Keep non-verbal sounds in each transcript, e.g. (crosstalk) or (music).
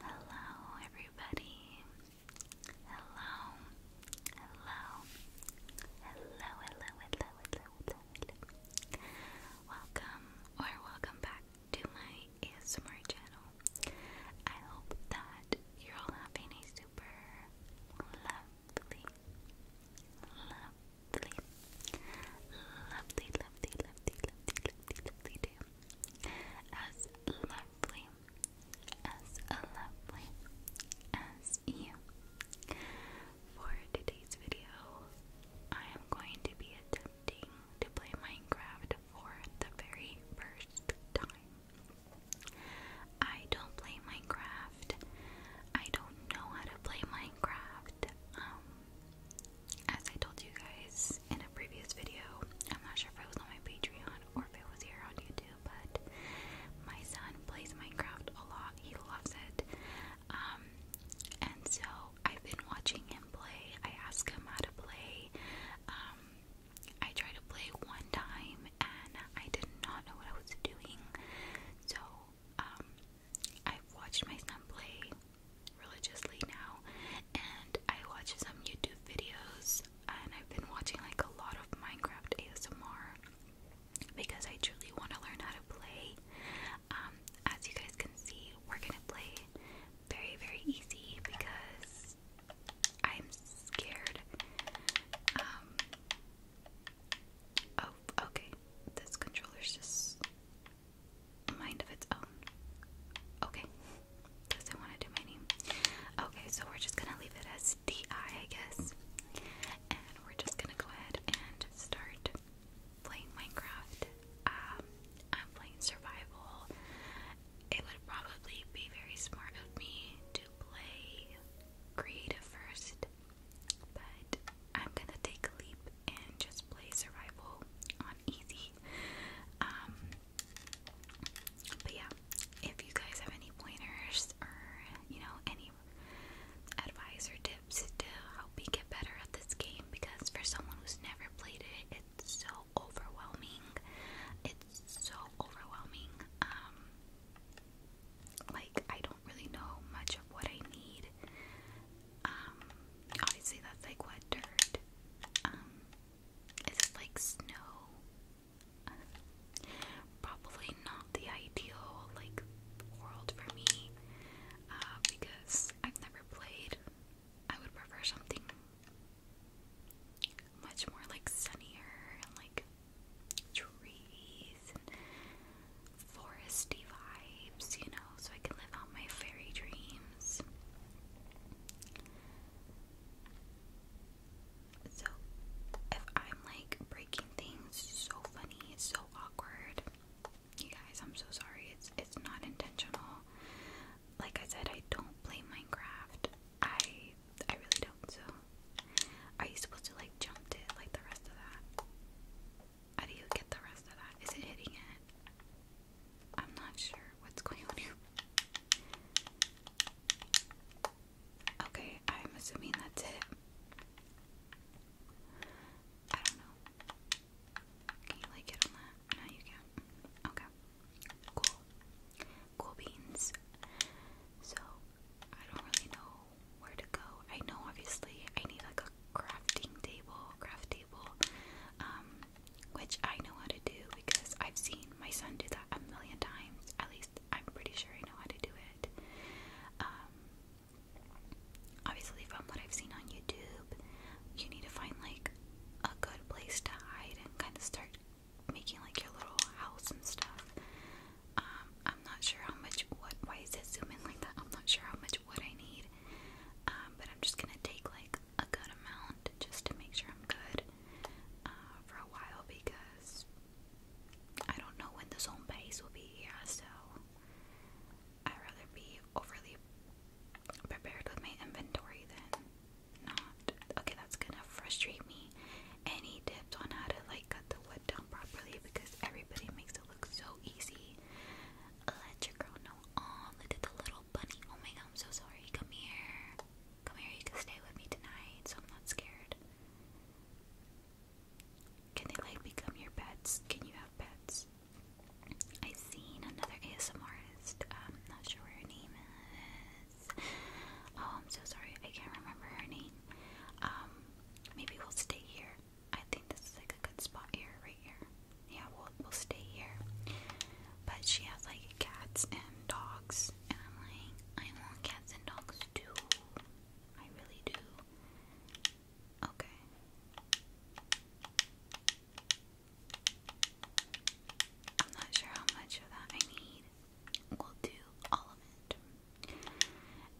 Hello, everybody. Hello. Hello. Hello, hello, hello, hello, Welcome or welcome back to my ASMR channel. I hope that you're all having a super lovely, lovely, lovely, lovely, lovely, lovely, lovely day as lovely, as lovely as you. For today's video, I am going to be attempting to play Minecraft for the very first time. I don't play Minecraft. I don't know how to play Minecraft. Um, as I told you guys in a previous video, I'm not sure if I was on my Patreon or if it was here on YouTube, but my son plays Minecraft a lot. He loves it. Um, and so I've been watching him play. I ask him how to play. Um, I tried to play one time and I did not know what I was doing. So, um, I've watched my son play religiously now, and I watch some YouTube videos, and I've been watching like a lot of Minecraft ASMR because I truly want to learn how to play. Um, as you guys can see, we're gonna play very, very easy because I'm scared. Um, oh, okay. This controller's just mind of its own. Okay. Doesn't want to do my name. Okay, so we're just gonna leave it as DI, I guess. And we're just gonna go ahead and start playing Minecraft. Um, I'm playing survival. It would probably be very smart of me to play creative first, but I'm gonna take a leap and just play survival on easy. Um, but yeah, if you guys have any pointers or you know any advice tips to help me get better at this game, because for someone who's never played it, it's so overwhelming. It's so overwhelming. Um, like I don't really know much of what I need. Um, obviously that's like wet dirt. Um, is it like snow? probably not the ideal like world for me uh, because I've never played. I would prefer something much more like sunnier and like trees foresty vibes, you know so I can live out my fairy dreams. So, if I'm like breaking things, so funny, it's so awkward. You guys, I'm so sorry. It's it's not intentional. Like I said, I don't play Minecraft. I I really don't. So, are you supposed to like jump it like the rest of that? How do you get the rest of that? Is it hitting it? I'm not sure what's going on here. Okay, I'm assuming that's it. I don't know. Can you like it on that? No, you can Okay. Cool. Cool beans. So, I don't really know where to go. I know, obviously, I need like crafting table, craft table, um, which I know how to do because I've seen my son do that a million times. At least I'm pretty sure I know how to do it. Um, obviously, from what I've seen on YouTube, you need to find like a good place to hide and kind of start making like your little house and stuff. Um, I'm not sure how much wood. Why is it zoom in like that? I'm not sure how much wood I need. but I'm just gonna take like a good amount just to make sure I'm good uh, for a while because I don't know when this home base will be here, so I'd rather be overly prepared with my inventory than not. Okay, that's gonna frustrate me. Any tips on how to like cut the wood down properly because everybody makes it look so easy. Let your girl know. Oh, look at the little bunny. Oh my god, I'm so sorry. Come here. Come here, you can stay with me tonight, so I'm not scared. Can they like become your pets? Can you have pets? I seen another ASMRist. i not sure her name is. Oh, I'm so sorry. I can't remember her name. Um, maybe we'll stay here. I think this is like a good spot here, right here yeah, we'll we'll stay here. But she has like cats and dogs, and I'm like, I want cats and dogs too. I really do. Okay. I'm not sure how much of that I need. We'll do all of it.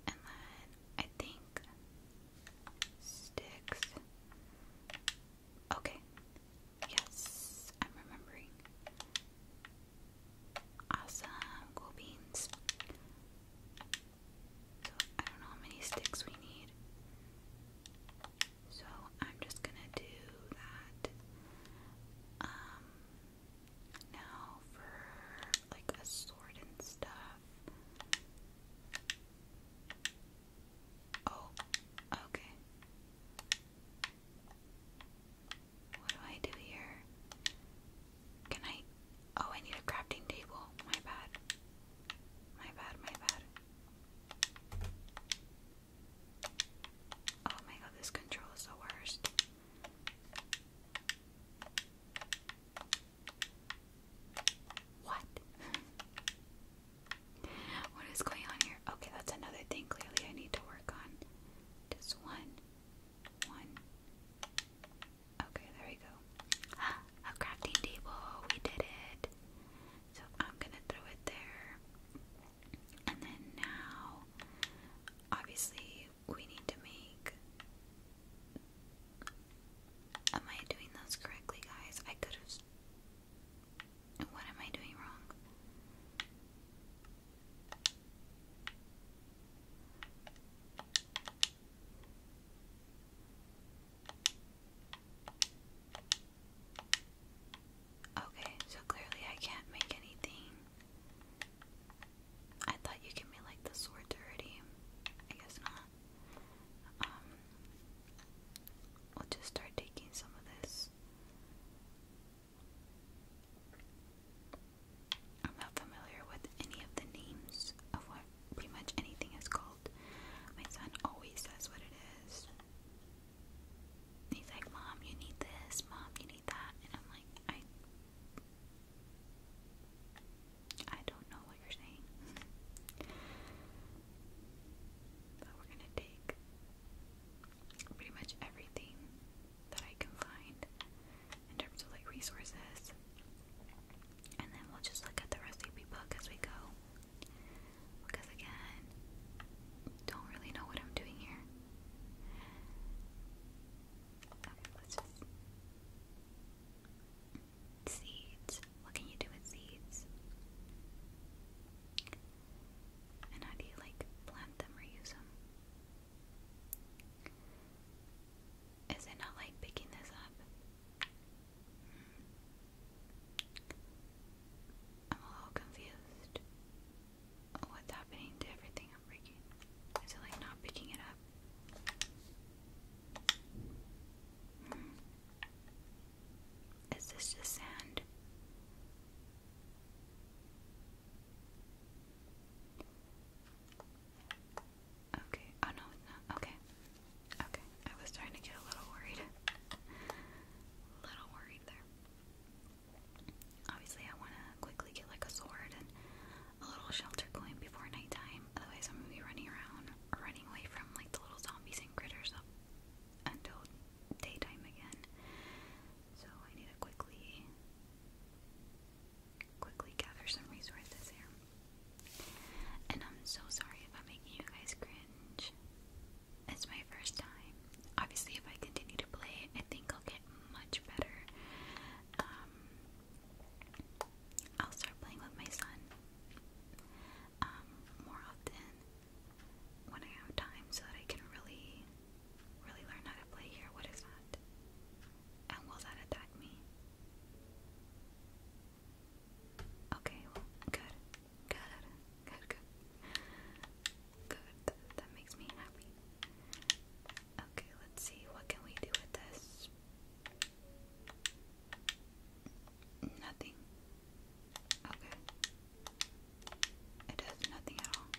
And then I think sticks. Okay. Yes, I'm remembering. Awesome, cool beans. So I don't know how many sticks we need. So I'm just gonna do that. Um now for like a sword and stuff. Oh, okay. What do I do here? Can I? Oh, I need a crafting table. My bad. My bad, my bad. Oh my god, this control is the worst. What? What is going on here? Okay, that's another thing clearly I need to work on. Just one. One. Okay, there we go. (gasps) A crafting table. We did it. So I'm gonna throw it there. And then now, obviously, we need to make Am I doing those correctly, guys? I could have. What am I doing wrong? Okay, so clearly I can't make anything. I thought you gave me like the sword dirty. I guess not. I'll um, just start taking some of this. I'm not familiar with any of the names of what pretty much anything is called. My son always says what it is. he's like, Mom, you need this, Mom, you need that. And I'm like, I. I don't know what you're saying. (laughs) but we're gonna take pretty much everything that I can find in terms of like resources. And then we'll just look at the recipe book as we go. Because again, don't really know what I'm doing here. let's just. Seeds. What can you do with seeds? And how do you like plant them or use them? Is it not like picking this up? Hmm. I'm a little confused. What's happening to everything I'm breaking? Is it like not picking it up? Hmm. Is this just sand? Okay. Oh no, it's Okay. Okay. I was trying to get a little worried. (laughs) little worried there. Obviously, I want to quickly get like a sword and a little shelter going before nighttime. Otherwise, I'm gonna be running around, running away from like the little zombies and critters until daytime again. So I need to quickly, quickly gather some resources here. And I'm so sorry if I'm making you guys cringe. It's my first time. Obviously, if I continue to play, I think I'll get much better. Um, I'll start playing with my son. Um, more often when I have time so that I can really, really learn how to play here. What is that? And will that attack me? Okay, well, good. Good. Good, good. Good. that makes me happy. Okay, let's see. What can we do with this? Nothing. Okay. It does nothing at all.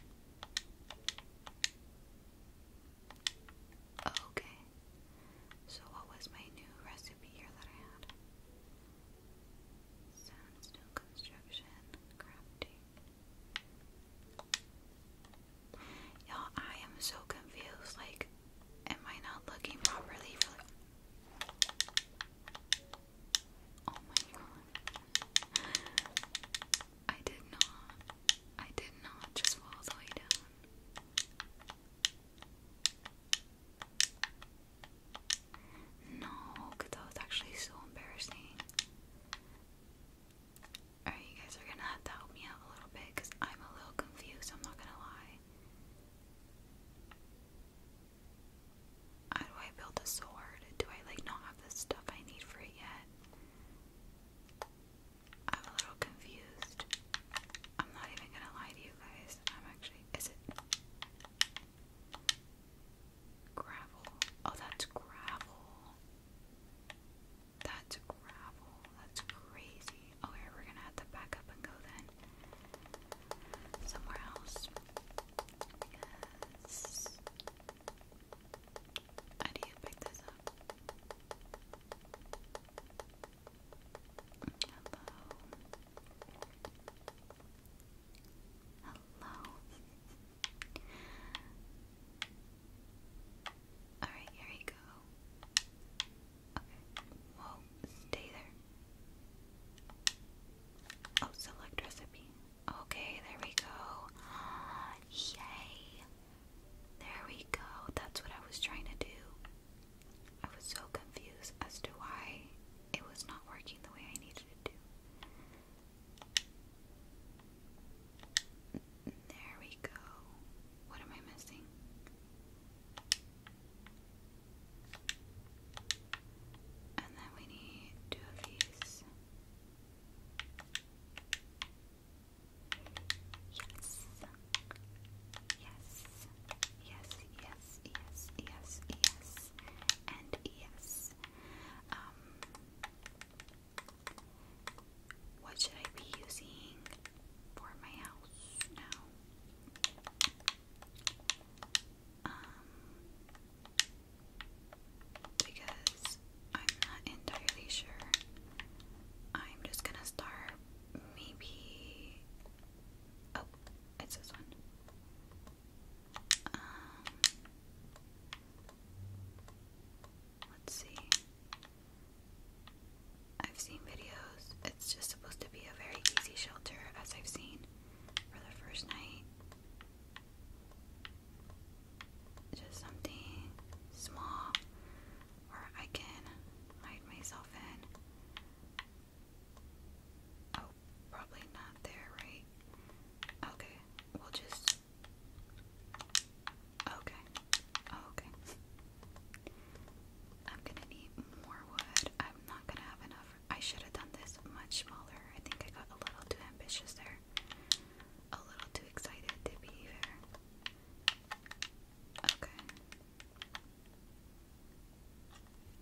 Okay. So, what was my new recipe here that I had? Sandstone construction, crafting. you I am so confused. Like, Am I not looking properly for Oh my god. I did not. I did not just fall all down. No, that was actually so embarrassing. Alright, you guys are gonna have to help me out a little bit because I'm a little confused, I'm not gonna lie. How do I build a sword? Do I like not have the stuff I need for it yet? I'm a little confused. I'm not even gonna lie to you guys. I'm actually. Is it gravel? Oh, that's gravel. That's gravel that's crazy. Okay, we're gonna have to back up and go then somewhere else. Because how do you pick this up? Hello. Hello. Alright, here we go. Okay. Well, stay there. Oh, select recipe. Okay, there we go. Yay! There we go. That's what I was trying to do. I was so confused as to why it was not working the way I needed it to. There we go. What am I missing? And then we need two of these. Yes. Yes. Yes, yes, yes, yes, yes. And yes. Um, what should I be using for my house now? Um, because I'm not entirely sure. I'm just gonna start maybe. Oh, it's this one. Um, let's see. I've seen videos. It's just supposed to be a very easy shelter, as I've seen for the first night. Just something small where I can hide myself in. Oh, probably not there, right? Okay, we'll just Okay. Okay. I'm gonna need more wood. I'm not gonna have enough. I should have done this much smaller. I think I got a little too ambitious there. A little too excited to be fair. Okay.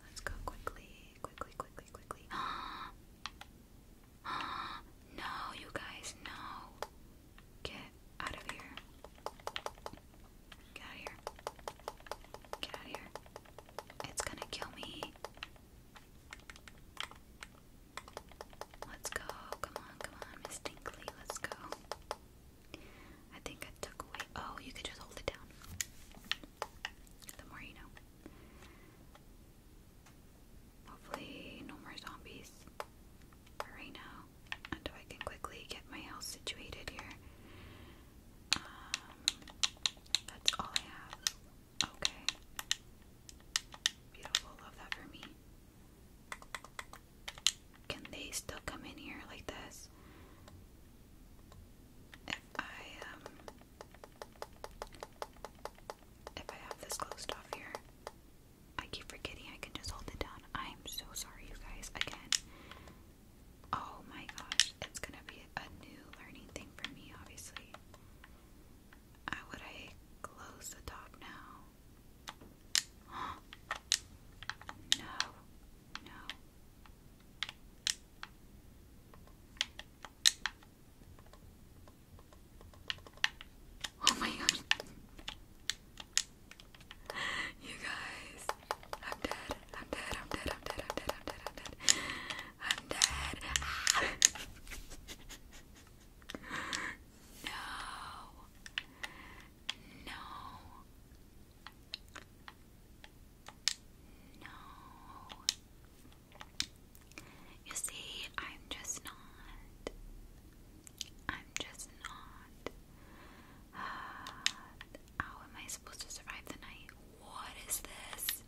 Let's go quickly, quickly, quickly, quickly. (gasps) (gasps) no, you guys, no. Get out of here. Get out of here. Get out of here. It's gonna kill me. Let's go. Come on, come on, Miss Dinkley. Let's go. I think I took away. Oh, you could just hold it down. The more you know. Hopefully, no more zombies right now until I can quickly get my house situated here. Um, that's all I have. Okay. Beautiful, love that for me. Can they still come in here like this? If I, um, if I have this closed off here. I keep forgetting I can just hold it down. I'm so sorry, you guys. Again. Oh my gosh. It's going to be a new learning thing for me, obviously. How would I close the top now? (gasps) no. No. Oh my god. (laughs) You guys, I'm dead. I'm dead. I'm dead. I'm dead. I'm dead. I'm dead. I'm dead. I'm dead. I'm ah. dead. (laughs) no. No. No. You see, I'm just not. I'm just not. Uh, how am I supposed to survive the night? What is this?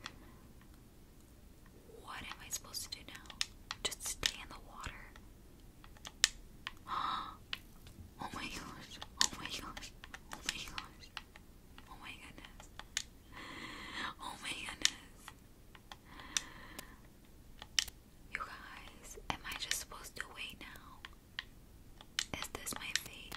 What am I supposed to do now? Just stay in the water. (gasps) Oh my gosh. Oh my gosh. Oh my gosh. Oh my goodness. Oh my goodness. You guys, am I just supposed to wait now? Is this my fate?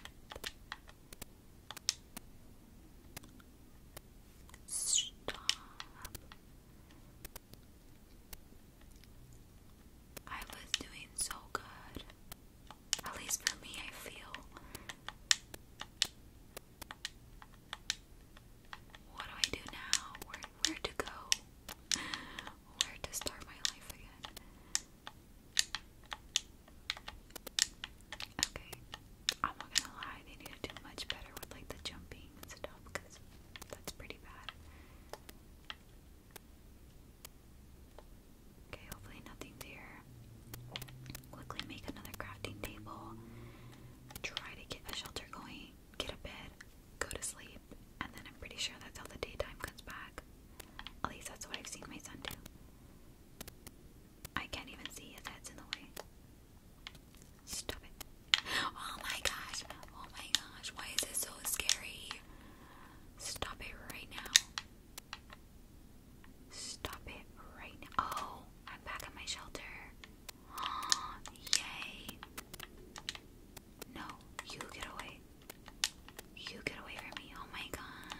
I was doing so good. At least for me, I feel. What do I do now? where to go, where to start my life again. Okay, I'm not gonna lie, they need to do much better with like the jumping and stuff because that's pretty bad. Okay, hopefully nothing there. Quickly make another crafting table. Try to get a shelter going get a bed, go to sleep, and then I'm pretty sure that's how the daytime comes back. At least that's what I've seen my son do. I can't even see his head's in the way. Stop it. Oh my gosh. Oh my gosh. Why is this so scary? Stop it right now. Stop it right now. Oh, I'm back at my shelter. Yay! No, you get away. You get away from me. Oh my gosh.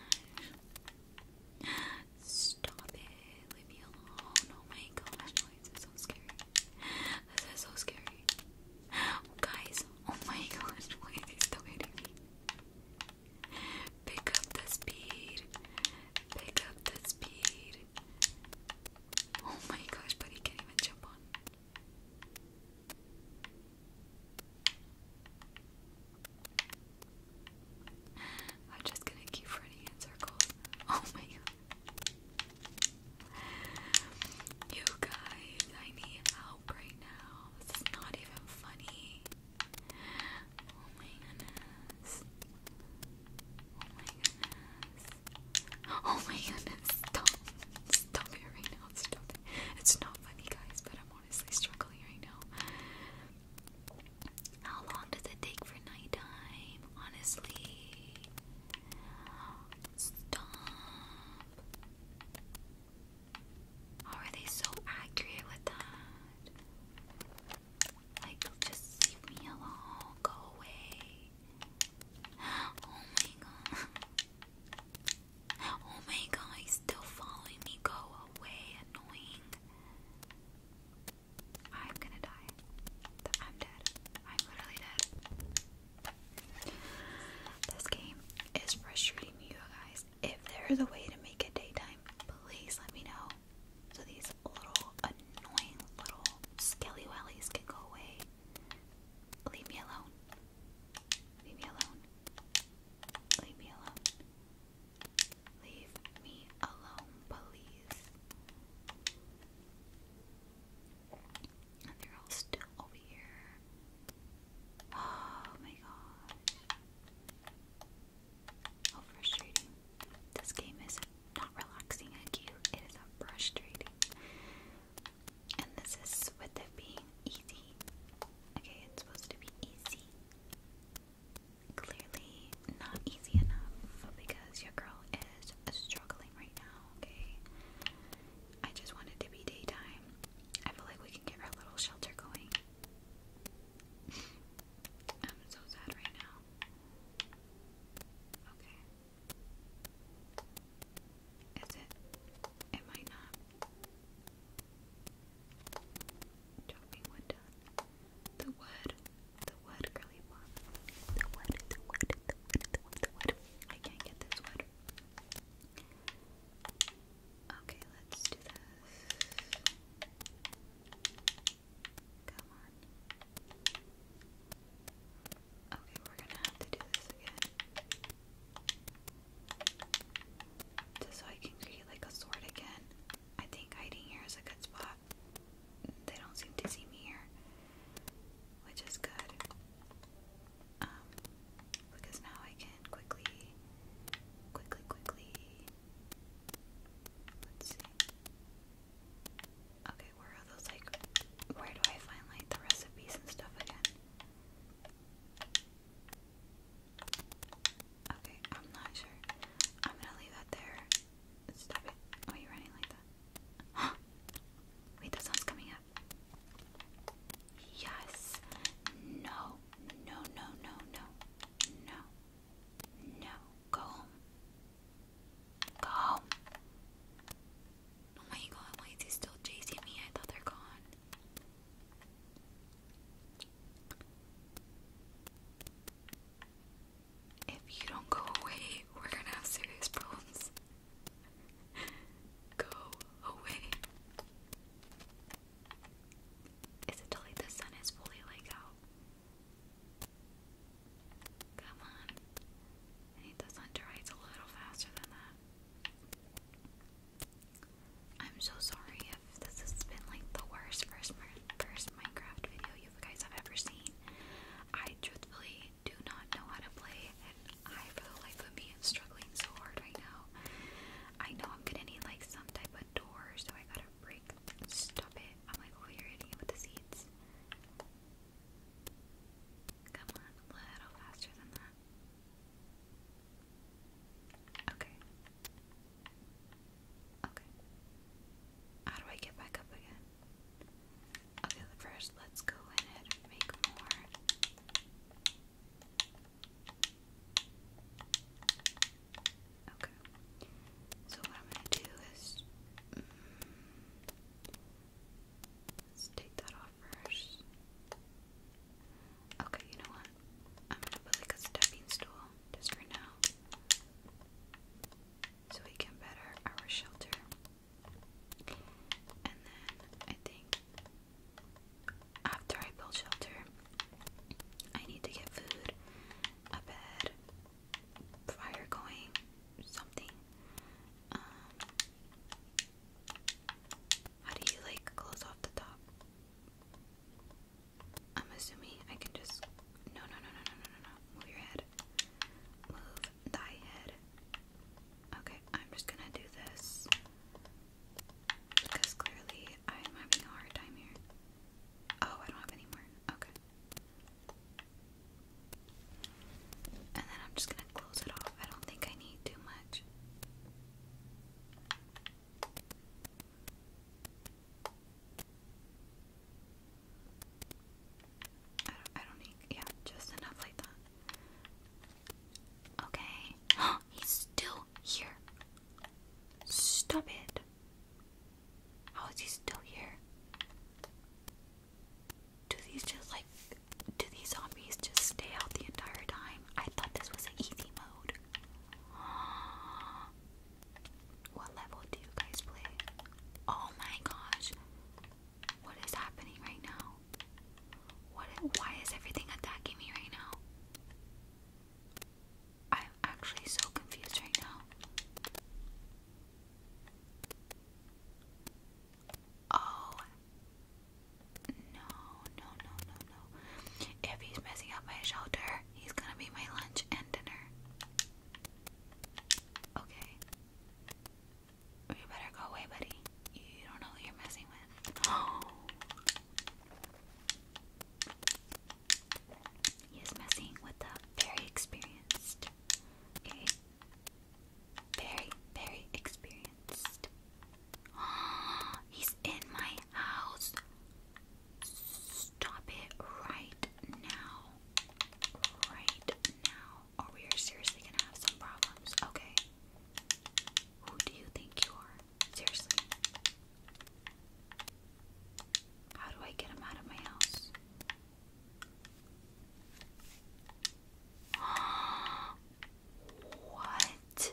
Stop it. Leave me alone. Oh my gosh. this is so scary. This is so scary. Guys, oh my gosh. Why is he still hitting Pick up the speed. Pick up the speed. Oh my gosh, but he can't even jump on. I'm just gonna keep running in circles. (laughs) Oh my god. You guys, I need help right now. This is not even funny. Oh my goodness. Oh my goodness. Oh my goodness, stop. Stop it right now. It's not funny, guys, but I'm honestly struggling right now. How long does it take for nighttime? Honestly. Stop. How are they so accurate with that? Like, just leave me alone. Go away. Oh my god. Oh my god, he's still following me. Go away, annoying. I'm gonna die. I'm dead. I'm literally dead. This game is frustrating you guys. If there is a way to make it daytime, please let me know. So these little annoying little skelly wellies can go away. Leave me alone. Leave me alone. Leave me alone. Leave me alone, please. And they're all still over here. Oh my gosh. How frustrating. This game is not relaxing IQ, it is a frustrating. And this is with it being easy. Okay, it's supposed to be easy. Clearly not easy enough because your girl is struggling right now, okay? I just want to be daytime. I feel like we can get our little shelter going. (laughs) I'm so sad right now. Okay. Is it? It might not. Chopping wood The wood. The wood, girly pop. The wood, the wood, the wood, the wood, the wood. I can't get this wood. Okay, let's do this. Come on. Okay, we're gonna have to do this again. Just so I can create like a sword again. I think hiding here is a good spot. They don't seem to see me here, which is good. Um, because now I can quickly, quickly, quickly. Let's see. Okay, where are those like where do I find like the recipes and stuff again? Okay, I'm not sure. I'm gonna leave that there. Stop it. are you running like that? (gasps) Wait, the sun's coming up. Yes. No, no, no, no. No. No. Go home. Go Oh my god, why is he still chasing me? I thought they're gone. If you don't go away, we're gonna have serious problems. (laughs) go away. Is it till like the sun is fully like out? Come on. I need this underwrites a little faster than that. I'm so sorry if this has been like the worst first, first Minecraft video you guys have ever seen. I truthfully do not know how to play, and I, for the life of me, am struggling so hard right now. I know I'm gonna need like some type of door, so I gotta break. Stop it. I'm like oh, you're hitting it with the seeds. Come on, a little faster than that. Okay. Okay. How do I get back up again? Okay, first let's go ahead and make more. Okay. So what I'm gonna do is. Mm, Let's take that off first. Okay, you know what? I'm gonna put like a stepping stool just for now. So we can better our shelter. And then I think after I build shelter, I need to get food, a bed, prior going something. Um, how do you like close off the top? I'm assuming I can just no no no no no no no move your head. Move thy head. Okay, I'm just gonna do this because clearly I'm having a hard time here. Oh, I don't have any more. Okay. And then I'm just gonna close it off. I don't think I need too much. I don't, I don't need, yeah, just enough like that. Okay. (gasps) He's still here. Stop it. How is he still here? Do these just like do these zombies just stay out the entire time? I thought this was an easy mode. (gasps) What level do you guys play? Oh my gosh. What is happening right now? What why is everything attacking me right now? I'm actually so confused right now. Oh no, no, no, no, no. If he's messing up my shelter, he's gonna be my lunch and dinner. Okay. You better go away, buddy. You don't know who you're messing with. Oh. (gasps) He messing with the very experienced Okay. Very, very experienced. (gasps) He's in my house. Stop it right now. Right now. Or we are seriously gonna have some problems. Okay. Who do you think you are? Seriously. How do I get him out of my house? what?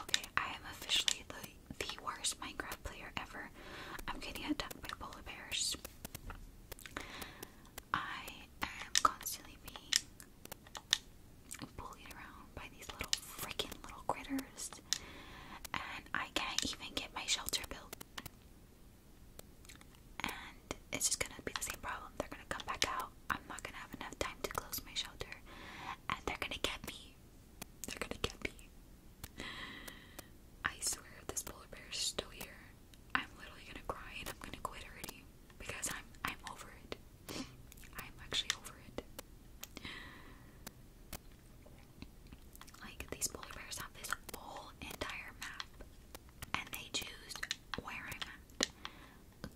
Okay, I am officially the, the worst Minecraft player ever. I'm getting attacked by polar bears. I am constantly being bullied around by these little freaking little critters, and I can't even get my shelter built and it's just gonna be the same problem. They're gonna come back out. I'm not gonna have enough time to close my shelter, and they're gonna get me. They're gonna get me. I swear, this polar bear is still here, I'm literally gonna cry and I'm gonna quit already because I'm I'm over it. (laughs) I'm actually over it. Like, these polar bears have this whole entire map, and they choose where I'm at.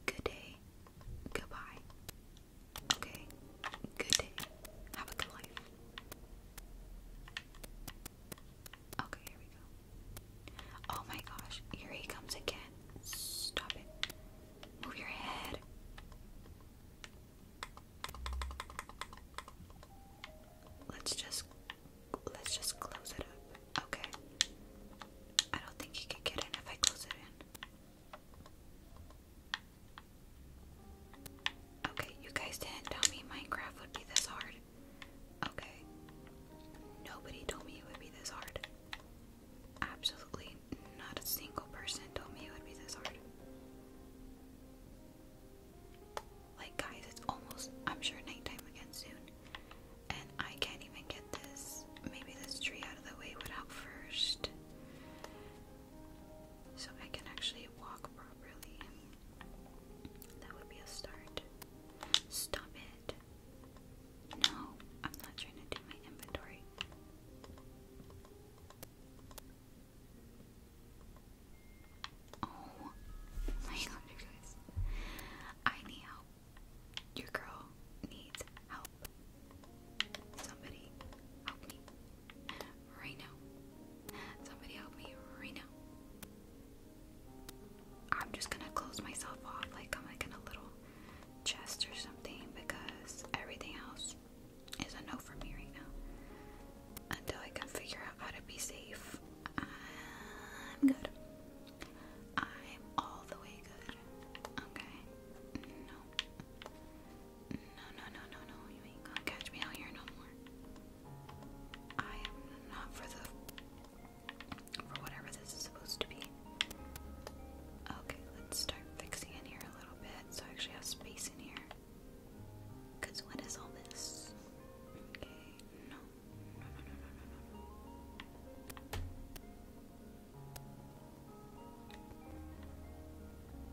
Good day. Goodbye. Okay. Good day. Have a good life. Okay, here we go. Oh my gosh, here he comes again. Stop it. Move your head. Let's just let's just close it up. Okay. I don't think he could get in if I close it in. Okay, you guys didn't tell me Minecraft would be this hard. Okay. Nobody told me it would be this hard. Absolutely not a single person told me it would be this hard. Like, guys, it's almost, I'm sure, nighttime again soon. And I can't even get this, maybe this tree out of the way would help first. So I can actually walk properly. That would be a start. Stop it. No, I'm not trying to do my inventory. Oh my god, you guys. I need help. Your girl needs help. Somebody help me. Right now. Somebody help me right now. I'm just gonna close myself off like I'm like in a little chest or something because everything else is a no for me right now. Until I can figure out how to be safe, I'm good. I'm all the way good. Okay? No. No, no, no, no, You ain't gonna catch me out here no more. I am not for the. for whatever this is supposed to be. Okay, let's start fixing in here a little bit so I actually have space in here. Cause what is all this? Okay, no, no, no, no, no, no,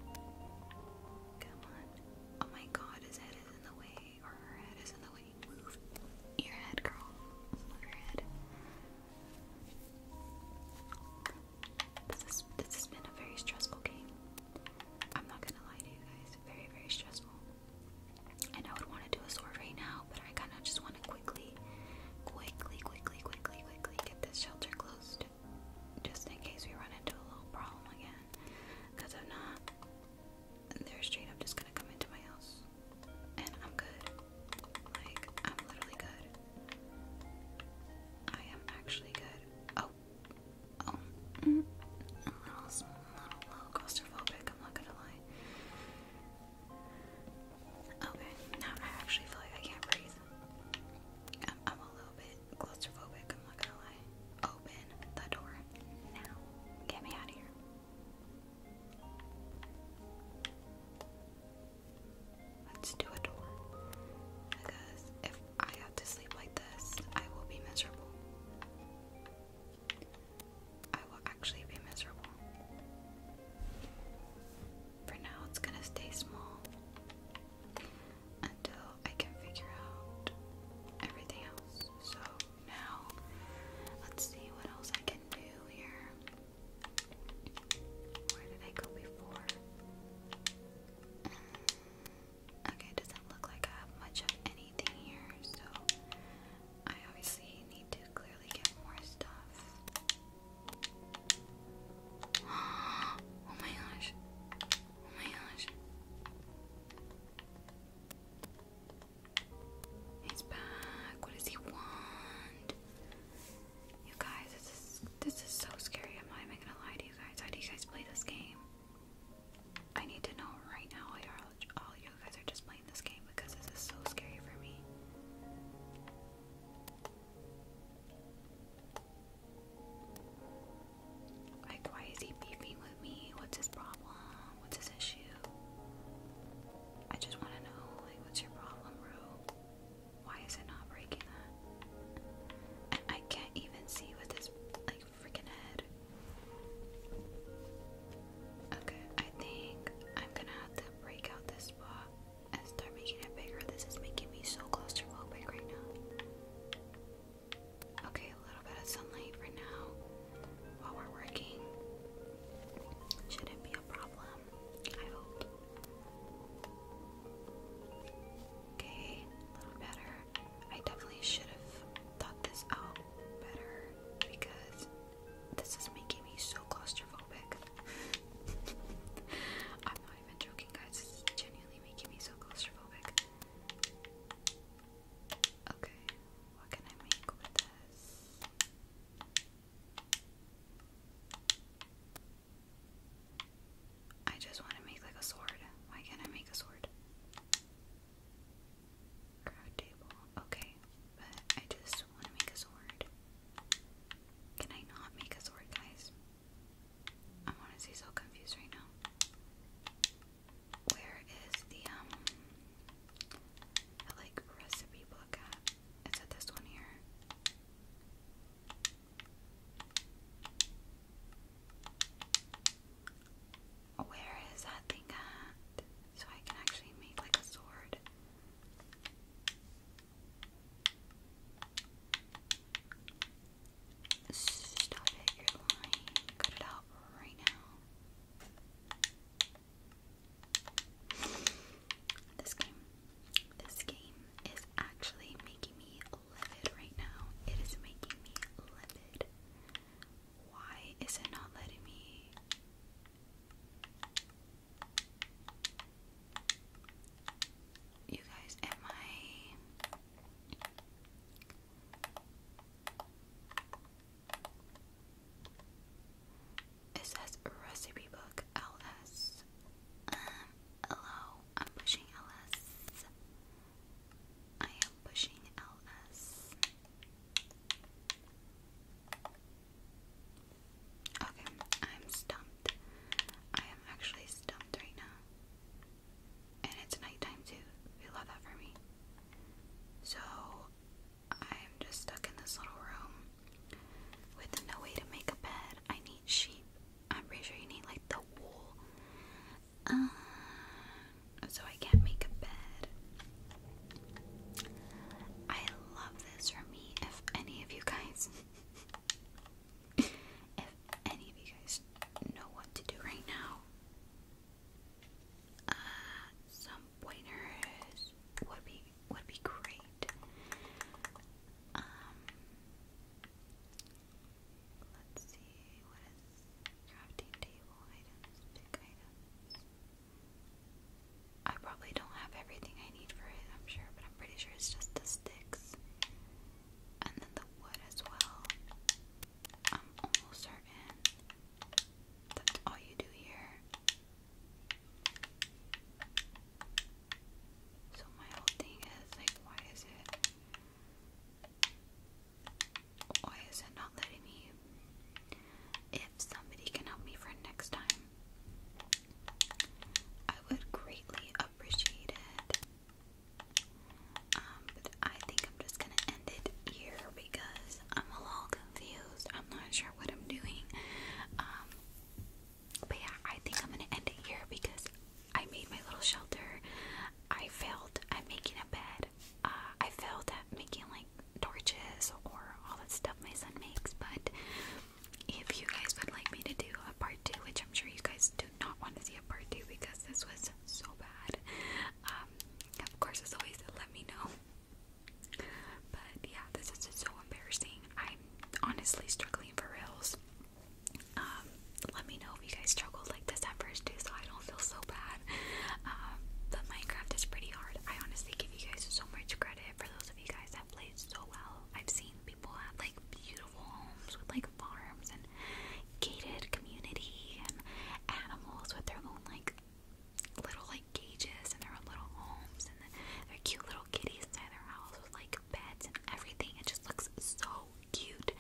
no. Come on. Oh my god, his head is in the way. Or her head is in the way. Move. Your head, girl. Move your head. this has been a very stressful game. I'm not gonna lie to you guys, very, very stressful. And I would want to do a sword right now, but I kind of just want to quickly, quickly, quickly, quickly, quickly get this shelter closed just in case we run into a little problem again. Because if not, they're straight up just gonna come into my house. And I'm good. Like, I'm literally good. I am actually good. Oh, I'm not gonna lie. Okay, now I actually feel like I can't breathe. I'm, a little bit claustrophobic. I'm not gonna lie. Open the door now. Get me out of here. Let's do a door I have to sleep like this, I will be miserable. I will actually be miserable. For now, it's gonna stay small until I can figure out everything else. So now, let's see what else I can do here. Where did I go before? Mm, Okay, it doesn't look like I have much of anything here, so I obviously need to clearly get more stuff. (gasps) Oh my gosh. Oh my gosh. He's back. What does he want? You guys, this is this is so scary. I'm not even gonna lie to you guys. How do you guys play this game? I need to know right now all you guys are just playing this game because this is so scary for me. Like, why is he beefing with me? What's his problem? What's his issue? I just want to know, like, what's your problem, bro? Why is it not breaking I can't even see with this like freaking head. Okay, I think I'm gonna have to break out this spot and start making it bigger. This is making me so claustrophobic right now. Okay, a little bit of sunlight for now while we're working. Shouldn't be a problem. I hope. Okay, a little better. I definitely should have thought this out better because this is making me so claustrophobic. (laughs) I'm not even joking, guys. This is genuinely making me so claustrophobic. Okay, what can I make with this? I just want to make like a sword. Why can't I make a sword? Craft table. Okay, but I just want to make a sword. Can I not make a sword, guys? I'm honestly so confused right now. Where is the um like recipe book at? Is it this one here? Oh, where is that thing at? So I can actually make like a sword. Stop it, you're lying. Cut it out right now. This game, this game is actually making me livid right now. It is making me livid. Why is it not letting me? You guys, am I. It says recipe book LS. Um, Hello, I'm pushing LS. I am pushing LS. Okay, I'm stumped. I am actually stumped right now. And it's nighttime too. You love that for me. So, I'm just stuck in this little room with no way to make a bed. I need sheep I'm pretty sure you need like the wool. Uh, so I can make a bed. I love this for me. If any of you guys, (laughs) if any of you guys know what to do right now, uh, some pointers would be would be great. Um, Let's see, what is crafting table items, pick items. I probably don't have everything I need for it, I'm sure, but I'm pretty sure it's just the sticks and then the wood as well. I'm almost certain that's all you do here. So my whole thing is like, why is it? Why is it not letting me? If somebody can help me for next time, I would greatly appreciate it. Um, but I think I'm just gonna end it here because I'm a little confused. I'm not sure what I'm doing. Um, but yeah, I think I'm gonna end it here because I made my little shelter. I failed I'm making a bed. Uh, I failed at making like torches or all that stuff my son makes. But if you guys would like me to do a part two, which I'm sure you guys do not want to see a part two because this was so bad, um, of course, as always, let me know. But yeah, this is so embarrassing. I'm honestly struggling for rails. Um, let me know if you guys struggled like this at first too, so I don't feel so bad. Um, but Minecraft is pretty hard. I honestly give you guys so much credit for those of you guys that played so well. I've seen people have like beautiful homes with like farms and gated community and animals with their own like little like cages and their own little homes and then cute little kitties inside their house with like beds and everything. It just looks so cute.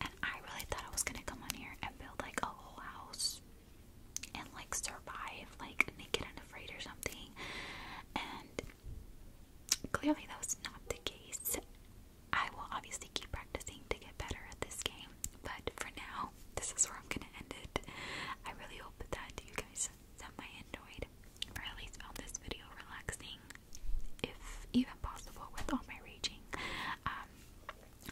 And I really thought I was gonna come on here and build like a whole house and like survive like naked and afraid or something. And clearly that was not the case. I will obviously keep practicing to get better at this game, but for now, this is where I'm gonna end it. I really hope that you guys some I enjoyed, or at least found this video relaxing, if even possible, with all my raging. Um,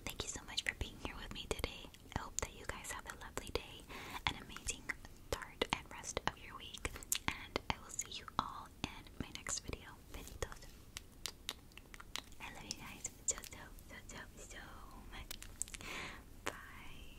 thank you so much for being here with me today. I hope that you guys have a lovely day, an amazing start and rest of your week, and I will see you all in my next video. Besitos. I love you guys so, so, so, so, so much. Bye.